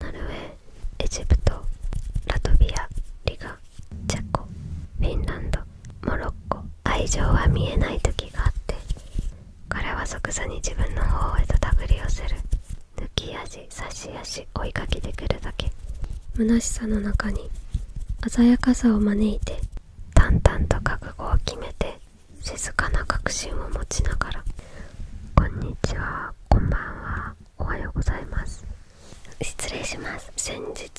ナルウェーエジプトラトビアリガチェコフィンランドモロッコ愛情は見えない時があって彼は即座に自分の方へとたぐり寄せる抜き足差し足追いかけてくるだけ虚しさの中に鮮やかさを招いて淡々と覚悟を決めて静かな確信を持ちながら「こんにちはこんばんはおはようございます失礼します先日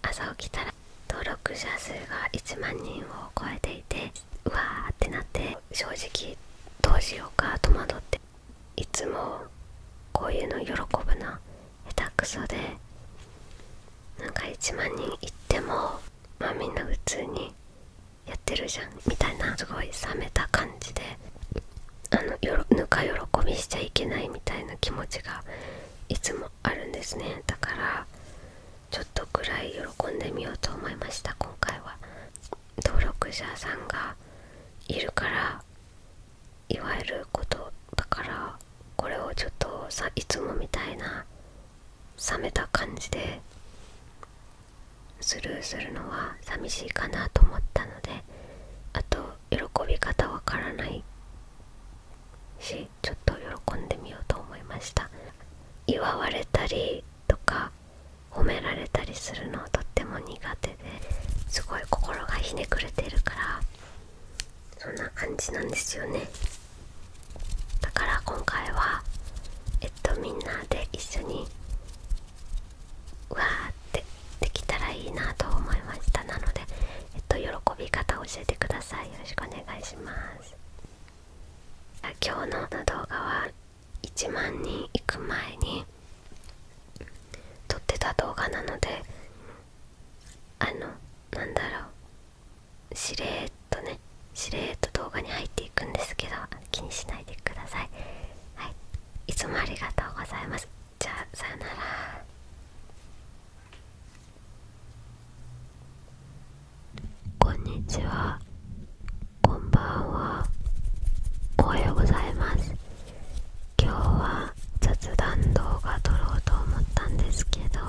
朝起きたら登録者数が1万人を超えていてうわーってなって正直どうしようか戸惑っていつもこういうの喜ぶな下手くそでなんか1万人いってもまあみんな普通にやってるじゃんみたいなすごい冷めた感じであのぬか喜びしちゃいけないみたいな気持ちがいつもあるんですねだからちょっとくらい喜んでみようと思いました今回は登録者さんがいるからいわゆることだからこれをちょっとさいつもみたいな冷めた感じでスルーするのは寂しいかなと思ったのであと喜び方わからないしちょっと喜んでみようと思いました祝われたりとか褒められたりするのとっても苦手ですごい心がひねくれてるからそんな感じなんですよねだから今回はえっとみんなで一緒にわーってできたらいいなと思いましたなので、えっと、喜び方を教えてくださいよろしくお願いします今日の動画は1万人行く前に撮ってた動画なのであのなんだろうしれっとねしれっと動画に入っていくんですけど気にしないでくださいはいいつもありがとうございますじゃあさよならこんにちはこんばんはおはようございます今日は雑談動画撮ろうと思ったんですけど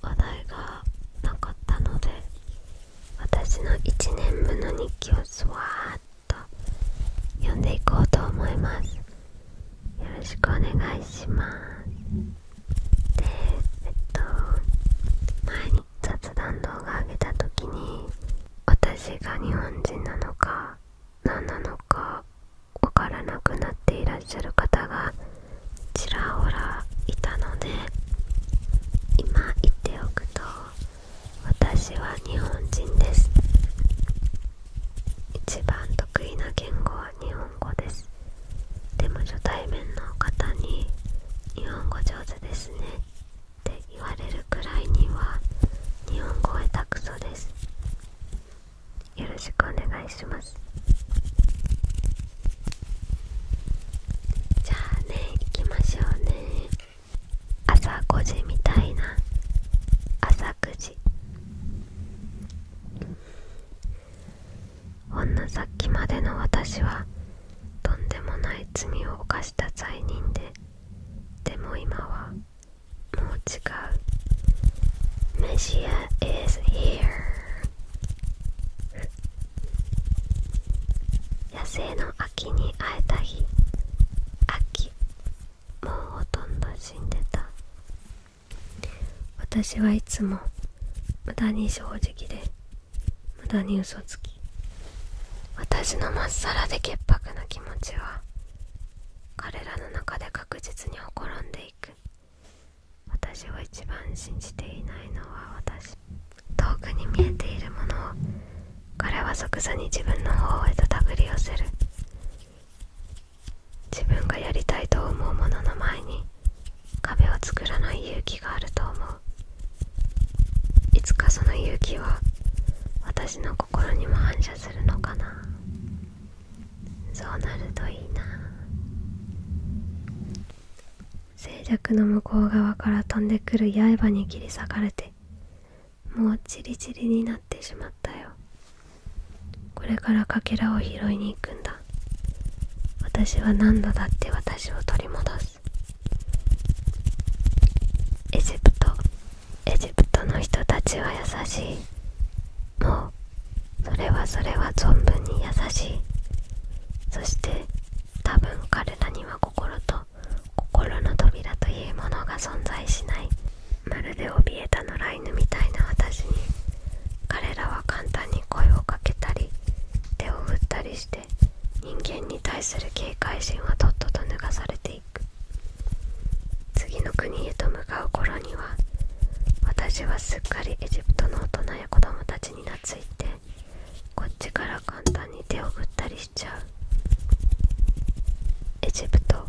話題がなかったので私の1年分の日記をすわーッと読んでいこうと思いますよろしくお願いしますでえっと前に雑談動画上げた時に私が日本人なのか何なのかわからなくなっていらっしゃる方がちらほらいたので今言ってておくと私は日本人です一番得意な言語は日本語ですでも初対面の方に「日本語上手ですね」って言われるくらいには日本語下手くそですよろしくお願いしますじゃあね行きましょうね朝5時みたいな朝9時ほんのさっきまでの私はとんでもない罪を犯した罪人ででも今はもう違うメシア is h e r 野生の秋に会えた日秋もうほとんど死んでた私はいつも無駄に正直で無駄に嘘つき私のまっさらで潔白な気持ちは彼らの中で確実にほころんでいく私を一番信じていないのは私遠くに見えているものを彼は即座に自分の方へとたぐり寄せる自分がやりたいと思うものの前に壁を作らない勇気があると思ういつかその勇気は私の心にも反射するのかなそうなるといいな静寂の向こう側から飛んでくる刃に切り裂かれてもうチリチリになってしまったよこれからかけらを拾いに行くんだ私は何度だって私を取り戻すエジプトエジプトの人たちは優しいもうそれはそれは存分に優しいそして多分彼らには心と心の扉というものが存在しないまるで怯えた野良犬みたいな私に彼らは簡単に声をかけたり手を振ったりして人間に対する警戒心はとっとと脱がされていく次の国へと向かう頃には私はすっかりエジプトの大人や子供たちに懐いてこっちから簡単に手を振ったりしちゃうエジプト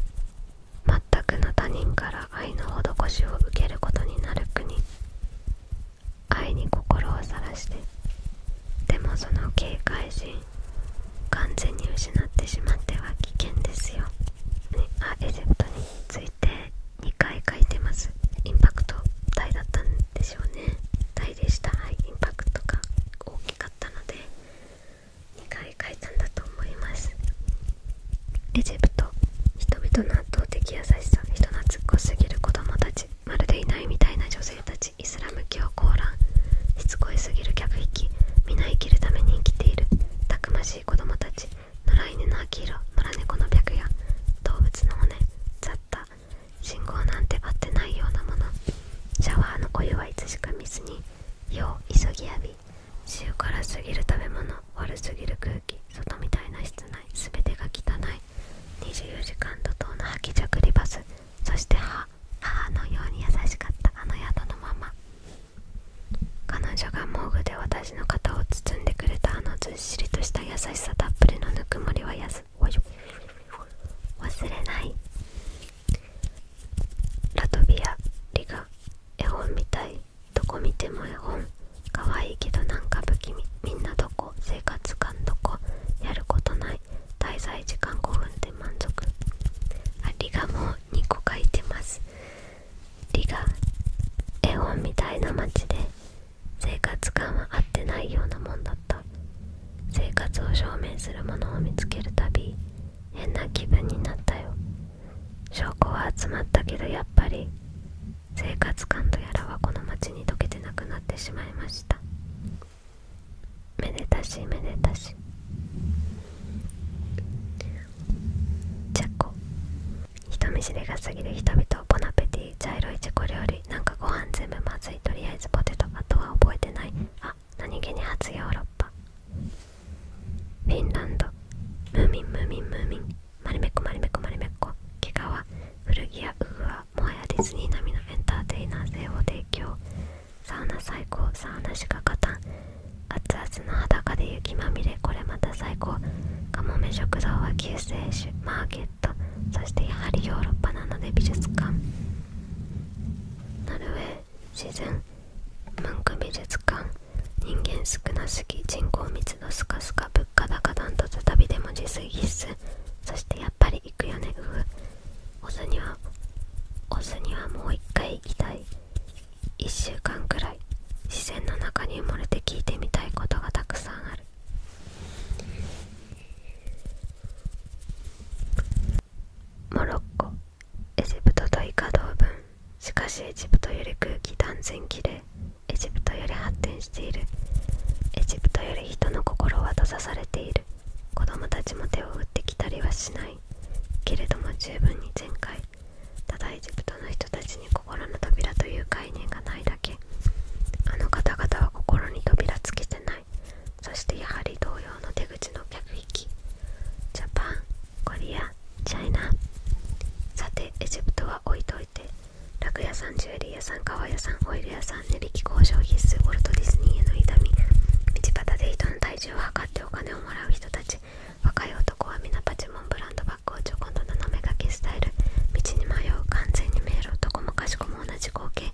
全くの他人から愛の施しを受けることになる国愛に心をさらしてでもその警戒心完全に失ってしまっては危険ですよ、ね、あエジプトについて2回書いてますインパクト大だったんでしょうね大でした、インパクトが大きかったので2回書いたんだと思いますエジプト人々の圧倒的優しさ人懐っこすぎる子供たちまるでいないみたいな女性たちイスラム教コーランしつこいすぎる客引き皆生きるために生きているたくましい子供たち野良犬の秋色野良猫の白夜動物の骨雑た信号なんて合ってないようなものシャワーのお湯はいつしか見ずによう急ぎ浴び塩辛すぎる食べ物悪すぎる空気外みたいな室内全てが汚い24時間怒涛の吐きじゃくりバスそして母母のように優しかったあの宿のまま彼女が毛布で私の肩を包んでくれたあのずっしりとした優しさたっぷりのぬくもりはやす忘れないラトビアリガ絵本みたいどこ見ても絵本かわいいけどなんか不気味みんなどこ生活感どこやることない滞在時間5分で満足ありがもう2個書いてますリガ絵本みたいな街で生活感は合ってないようなもんだった生活を証明するものを見つけるたび変な気分になったよ証拠は集まったけどやっぱり生活感とやらはこの町に溶けてなくなってしまいましためでたしめでたしチェ人見知りが過ぎる人々ボナペティ茶色い自己料理なんかご飯全部まずいとりあえずポテトあとは覚えてないあ何気に初ヨーロッパフィンランドムーミンムーミンムーミンマリメコマリメコマリメコ毛は。古着やウグアもはやディズニー並みのエンターテイナー性を提供サウナ最高サウナしか勝たん熱々の裸で雪まみれこれまた最高カモメ食堂は救世主マーケットそしてやはりヨーロッパなので美術館ノルウェー自然文化美術館人間少なすぎ人口密度スカスカ物価高ダントツ旅でも自炊必須そしてやっぱり行くよねうふオスにはオスにはもう一回行きたい1週間くらい自然の中に埋もれて聞いてみたいことがたくさんあるモロッコエジプトとイカ同文しかしエジプトより空気断然きれいエジプトより発展しているエジプトより人の心は閉ざされている子供たちも手を打ってきたりはしないけれども十分に全開ただエジプトの人たち心の扉という概念がないだけあの方々は心に扉つけてないそしてやはり同様の手口の客引きジャパンコリアチャイナさてエジプトは置いといて楽屋さんジュエリー屋さん革屋さんホイル屋さん値引き交渉必須ウォルト・ディズニーへの痛み道端で人の体重を測ってお金をもらう人たち若い男は皆パチモンブランドパックこんと斜めかけスタイル道に迷う完全に迷路どこもかしこも同じ光景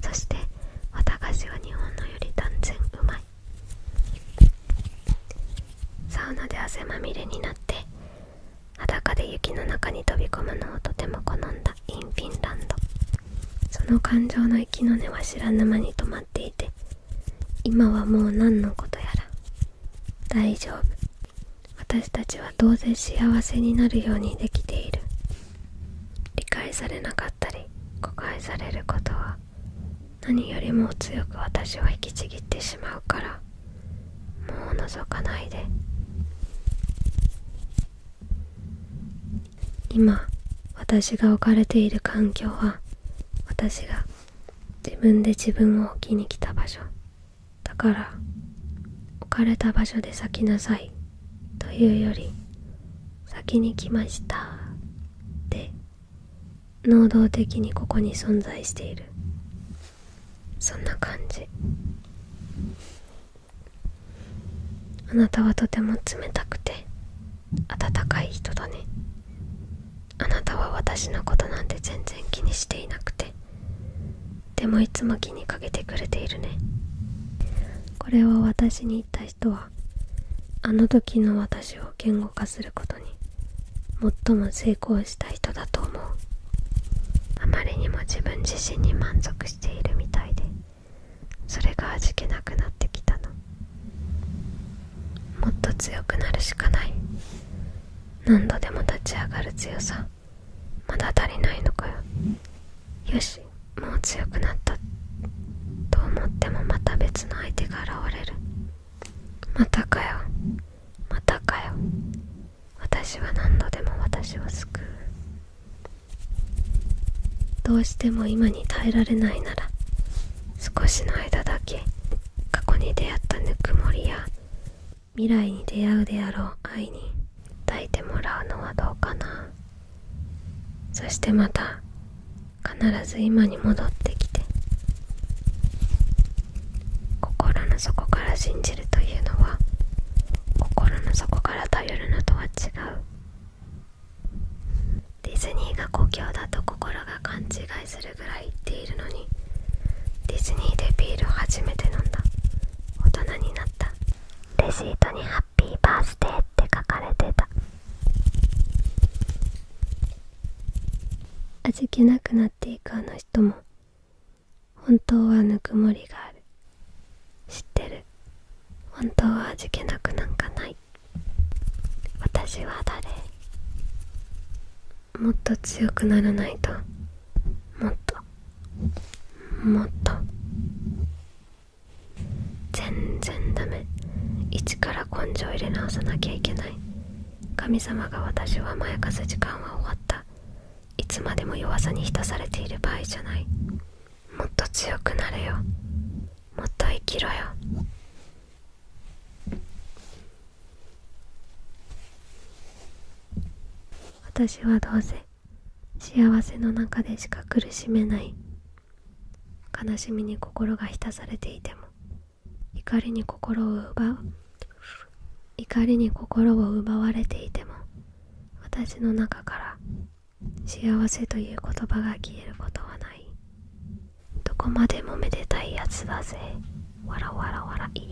そして綿菓子は日本のより断然うまいサウナで汗まみれになって裸で雪の中に飛び込むのをとても好んだインフィンランドその感情の息の根は知らぬ間に止まっていて今はもう何のことやら大丈夫私たちは当然幸せになるようにできている理解されなかったり誤解されることは何よりも強く私を引きちぎってしまうからもう覗かないで今私が置かれている環境は私が自分で自分を置きに来た場所だから置かれた場所で咲きなさいというより先に来ましたで。能動的にここに存在しているそんな感じあなたはとても冷たくて温かい人だねあなたは私のことなんて全然気にしていなくてでもいつも気にかけてくれているねこれは私に言った人はあの時の私を言語化することに最も成功した人だと思うあまりにも自分自身に満足しているみたいでそれが味気なくなってきたのもっと強くなるしかない何度でも立ち上がる強さまだ足りないのかよよしもう強くなったと思ってもまた別の相手が現れるまたかよまたかよ私は何度でも私を救うどうしても今に耐えられないなら少しの間だけ過去に出会ったぬくもりや未来に出会うであろう愛に抱いてもらうのはどうかなそしてまた必ず今に戻ってきて心の底から信じるというのは心の底から頼るのとは違うディズニーが故郷だと心が勘違いする。すぐらい行っているのにディズニーでビール初めて飲んだ大人になったレシートに「ハッピーバースデー」って書かれてた味気なくなっていくあの人も本当はぬくもりがある知ってる本当は味気なくなんかない私は誰もっと強くならないともっともっと全然ダメ一から根性入れ直さなきゃいけない神様が私を甘やかす時間は終わったいつまでも弱さに浸されている場合じゃないもっと強くなれよもっと生きろよ私はどうせ幸せの中でしか苦しめない悲しみに心が浸されていても怒りに心を奪う怒りに心を奪われていても私の中から幸せという言葉が消えることはないどこまでもめでたいやつだぜわらわらわらい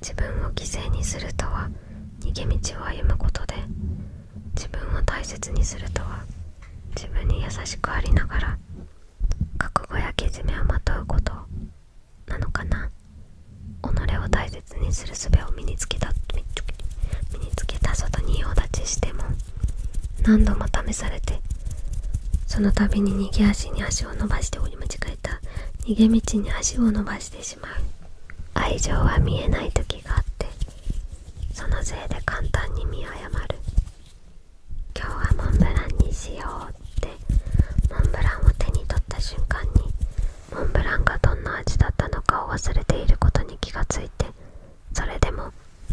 自分を犠牲にするとは逃げ道を歩むことで自分を大切にするとは自分に優しくありながら覚悟やけじめをまとうことなのかな己を大切にする術を身につけた身につけた外に用立ちしても何度も試されてその度に逃げ足に足を伸ばして折り間違えた逃げ道に足を伸ばしてしまう愛情は見えない時があってそのせいで簡単に見誤る今日はモンブランにしようってモンブランを手に取った瞬間にモンブランがどんな味だったのかを忘れていることに気がついてそれでも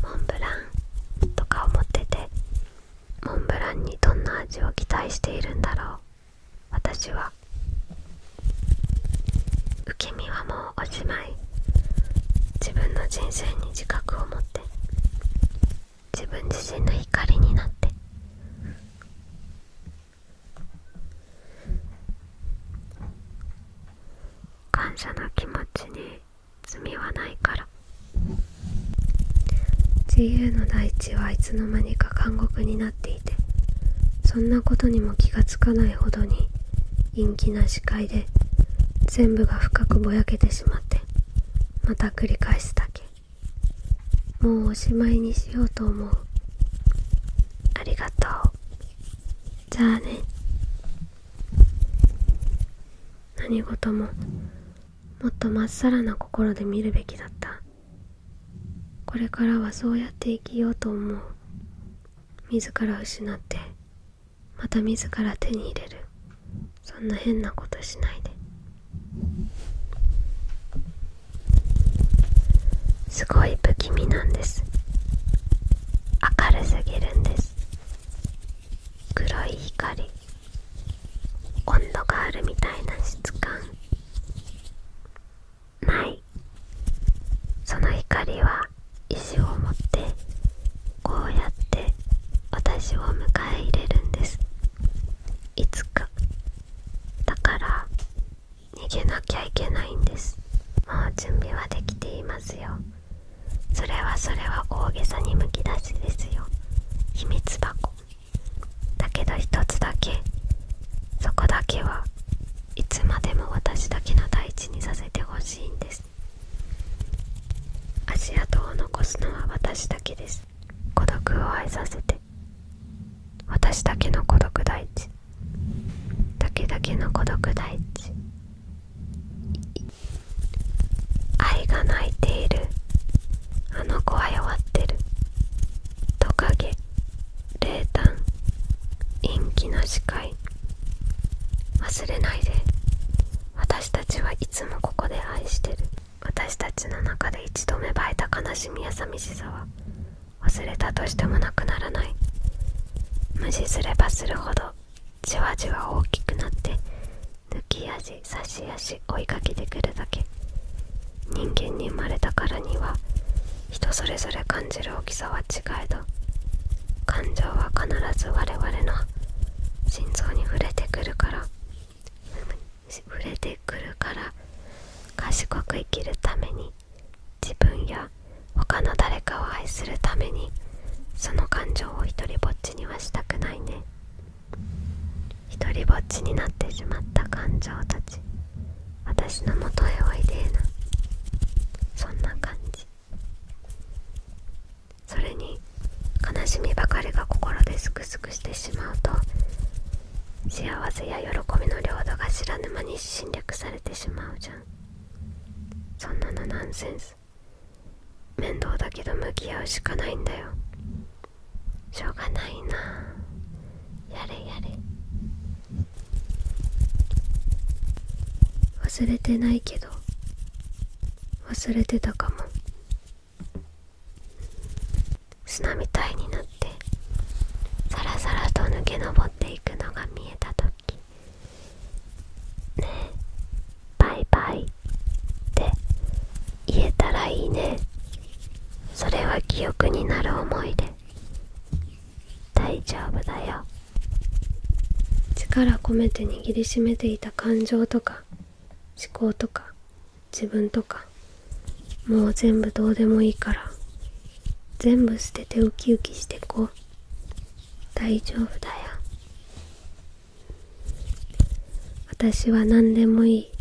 モンブランとか思っててモンブランにどんな味を期待しているんだろう私は受け身はもうおしまい自分の人生に自覚を持って自分自身の怒りになって感謝の気持ちに罪はないから自由の大地はいつの間にか監獄になっていてそんなことにも気がつかないほどに陰気な視界で全部が深くぼやけてしまってまた繰り返すだけもうおしまいにしようと思うありがとうじゃあね何事ももっとまっさらな心で見るべきだったこれからはそうやって生きようと思う自ら失ってまた自ら手に入れるそんな変なことしないですごい不気味なんです明るすぎるんです黒い光温度があるみたいな質感ないその光は石を持ってこうやって私を迎え入れるんですいつかだから逃げなきゃいけないんですもう準備はできていますよそれはそれは大げさにむき出しですよ秘密箱だけど一つだけそこだけはいつまでも私だけの大地にさせてほしいんです足跡を残すのは私だけです孤独を愛させて私だけの孤独大地だけだけの孤独第一。愛が泣いているあの子は弱ってるトカゲ冷淡陰気な視界忘れないで私たちはいつもここで愛してる私たちの中で一度芽生えた悲しみや寂しさは忘れたとしてもなくならない無視すればするほどじわじわ大きくなって抜き足差し足追いかけてくるだけ人間に生まれたからには人それぞれ感じる大きさは違えど感情は必ず我々の心臓に触れてくるから触れてくるから賢く生きるために自分や他の誰かを愛するためにその感情を一りぼっちにはしたくないね一りぼっちになってしまった感情達、私のもとへおいでえなそんな感じそれに悲しみばかりが心ですくすくしてしまうと幸せや喜びの領土が知らぬ間に侵略されてしまうじゃんそんなのナンセンス面倒だけど向き合うしかないんだよしょうがないなやれやれ忘れてないけど忘れてたかも砂みたいになってさらさらと抜け上っていくのが見えた時ねえバイバイ」って言えたらいいねそれは記憶になる思い出大丈夫だよ力込めて握りしめていた感情とか思考とか自分とかもう全部どうでもいいから全部捨ててウキウキしてこう。大丈夫だよ私は何でもいい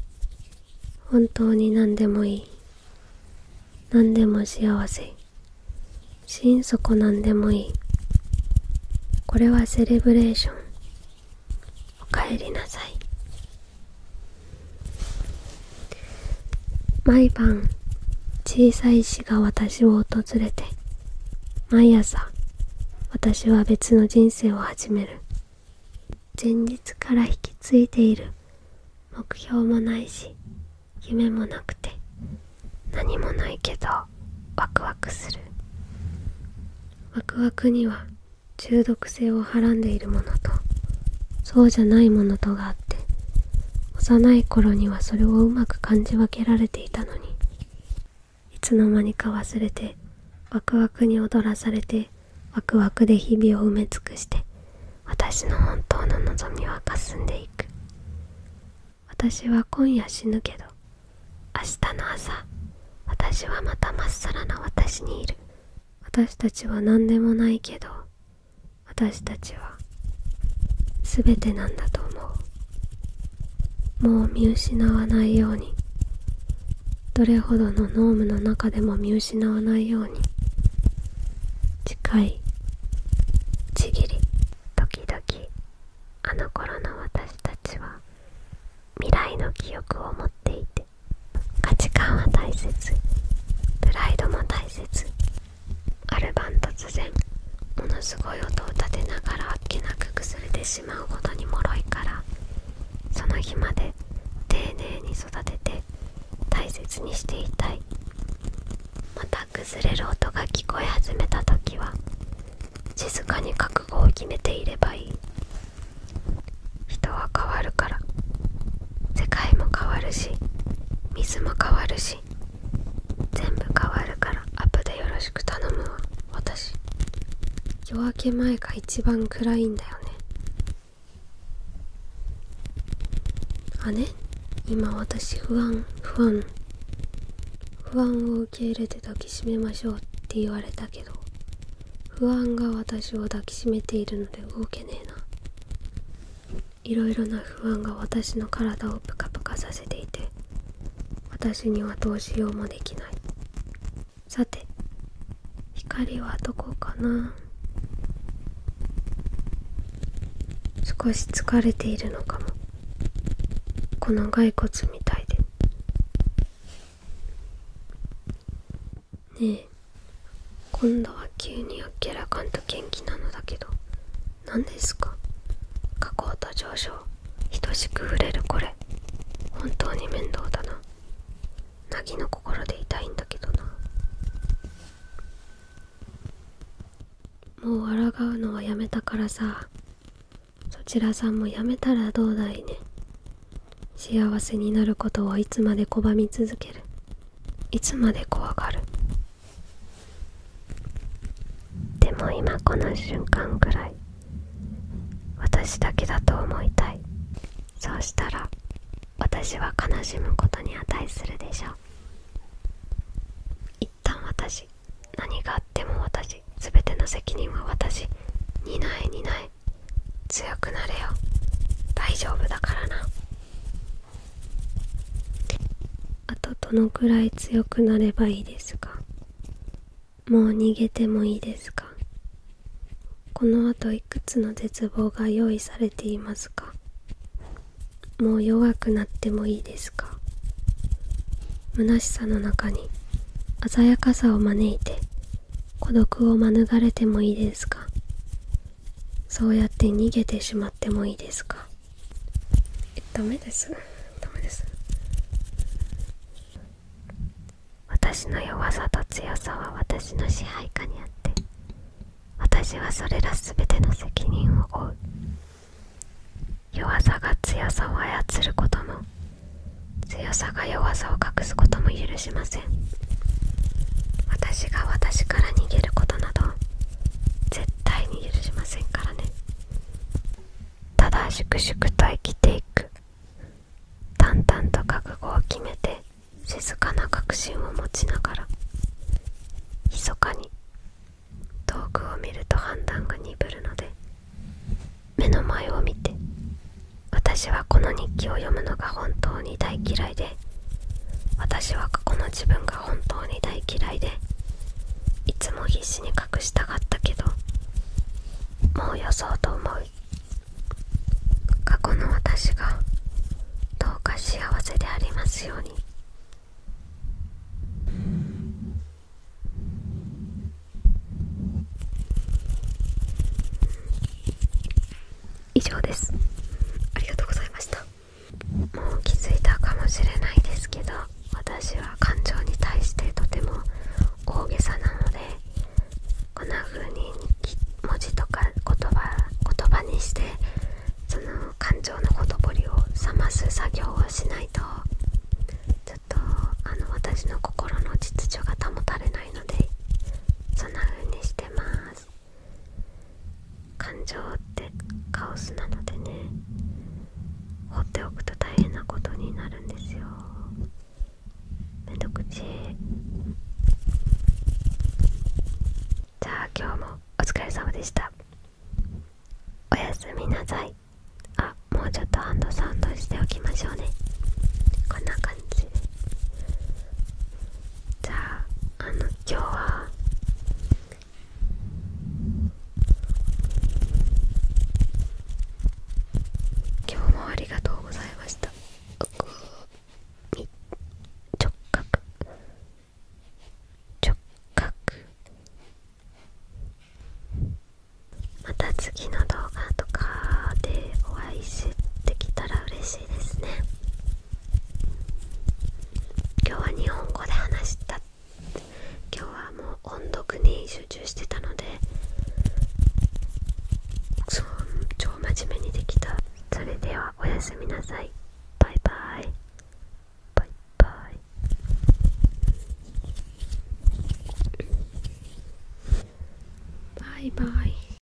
本当に何でもいい何でも幸せ心底何でもいいこれはセレブレーションおかえりなさい毎晩小さい石が私を訪れて毎朝私は別の人生を始める前日から引き継いでいる目標もないし夢もなくて何もないけどワクワクするワクワクには中毒性をはらんでいるものとそうじゃないものとがあ幼い頃にはそれをうまく感じ分けられていたのにいつの間にか忘れてワクワクに踊らされてワクワクで日々を埋め尽くして私の本当の望みはかすんでいく私は今夜死ぬけど明日の朝私はまたまっさらな私にいる私たちは何でもないけど私たちは全てなんだと思うもう見失わないようにどれほどの濃霧の中でも見失わないように近いちぎり時々あの頃の私たちは未来の記憶を持っていて価値観は大切プライドも大切ある晩突然ものすごい音を立てながらあっけなく崩れてしまうほどにもろいからその日まで丁寧に育てて大切にしていたいまた崩れる音が聞こえ始めた時は静かに覚悟を決めていればいい人は変わるから世界も変わるし水も変わるし全部変わるからアプでよろしく頼むわ私夜明け前が一番暗いんだよねあね今私不安不安不安を受け入れて抱きしめましょうって言われたけど不安が私を抱きしめているので動けねえないろいろな不安が私の体をプカプカさせていて私にはどうしようもできないさて光はどこかな少し疲れているのかもこの骸骨みたいでねえ今度は急にあっけらかんと元気なのだけど何ですか下降と上昇等しく触れるこれ本当に面倒だな凪の心で痛いんだけどなもう笑うのはやめたからさそちらさんもやめたらどうだいね幸せになることをいつまで拒み続けるいつまで怖がるでも今この瞬間くらい私だけだと思いたいそうしたら私は悲しむことに値するでしょう一旦私何があっても私全ての責任は私担え担え強くなれよ大丈夫だからなあとどのくらい強くなればいいですかもう逃げてもいいですかこのあといくつの絶望が用意されていますかもう弱くなってもいいですか虚しさの中に鮮やかさを招いて孤独を免れてもいいですかそうやって逃げてしまってもいいですかえダです私の弱さと強さは私の支配下にあって私はそれらすべての責任を負う弱さが強さを操ることも強さが弱さを隠すことも許しません私が私から逃げることなど絶対に許しませんからねただ粛々と生きていく淡々と覚悟を決めて静かな確信を持ちながら密かに遠くを見ると判断が鈍るので目の前を見て私はこの日記を読むのが本当に大嫌いで私は過去の自分が本当に大嫌いでいつも必死に隠したかったけどもうよそうと思い、過去の私がどうか幸せでありますように以上ですありがとうございましたもう気づいたかもしれないですけど私は感情に対してとても大げさなのでこんな風に文字とか言葉言葉にしてその感情のほとぼりを冷ます作業をしないとちょっとあの私の心の秩序が保たれないのでそんな風にしてます感情ってカオスなのでね放っておくと大変なことになるんですよめんどくちじゃあ今日もお疲れ様でしたおやすみなさいあもうちょっとハンドサンドしておきましょうねこんな感じじゃああの今日は今日もありがとうございました直角直角また次の動画とかでお会いしてきたら嬉しいですね今日は日本語で話した今日はもう音読に集中してたのでそ超真面目にできたそれではおやすみなさいバイバイバイバイバイバイ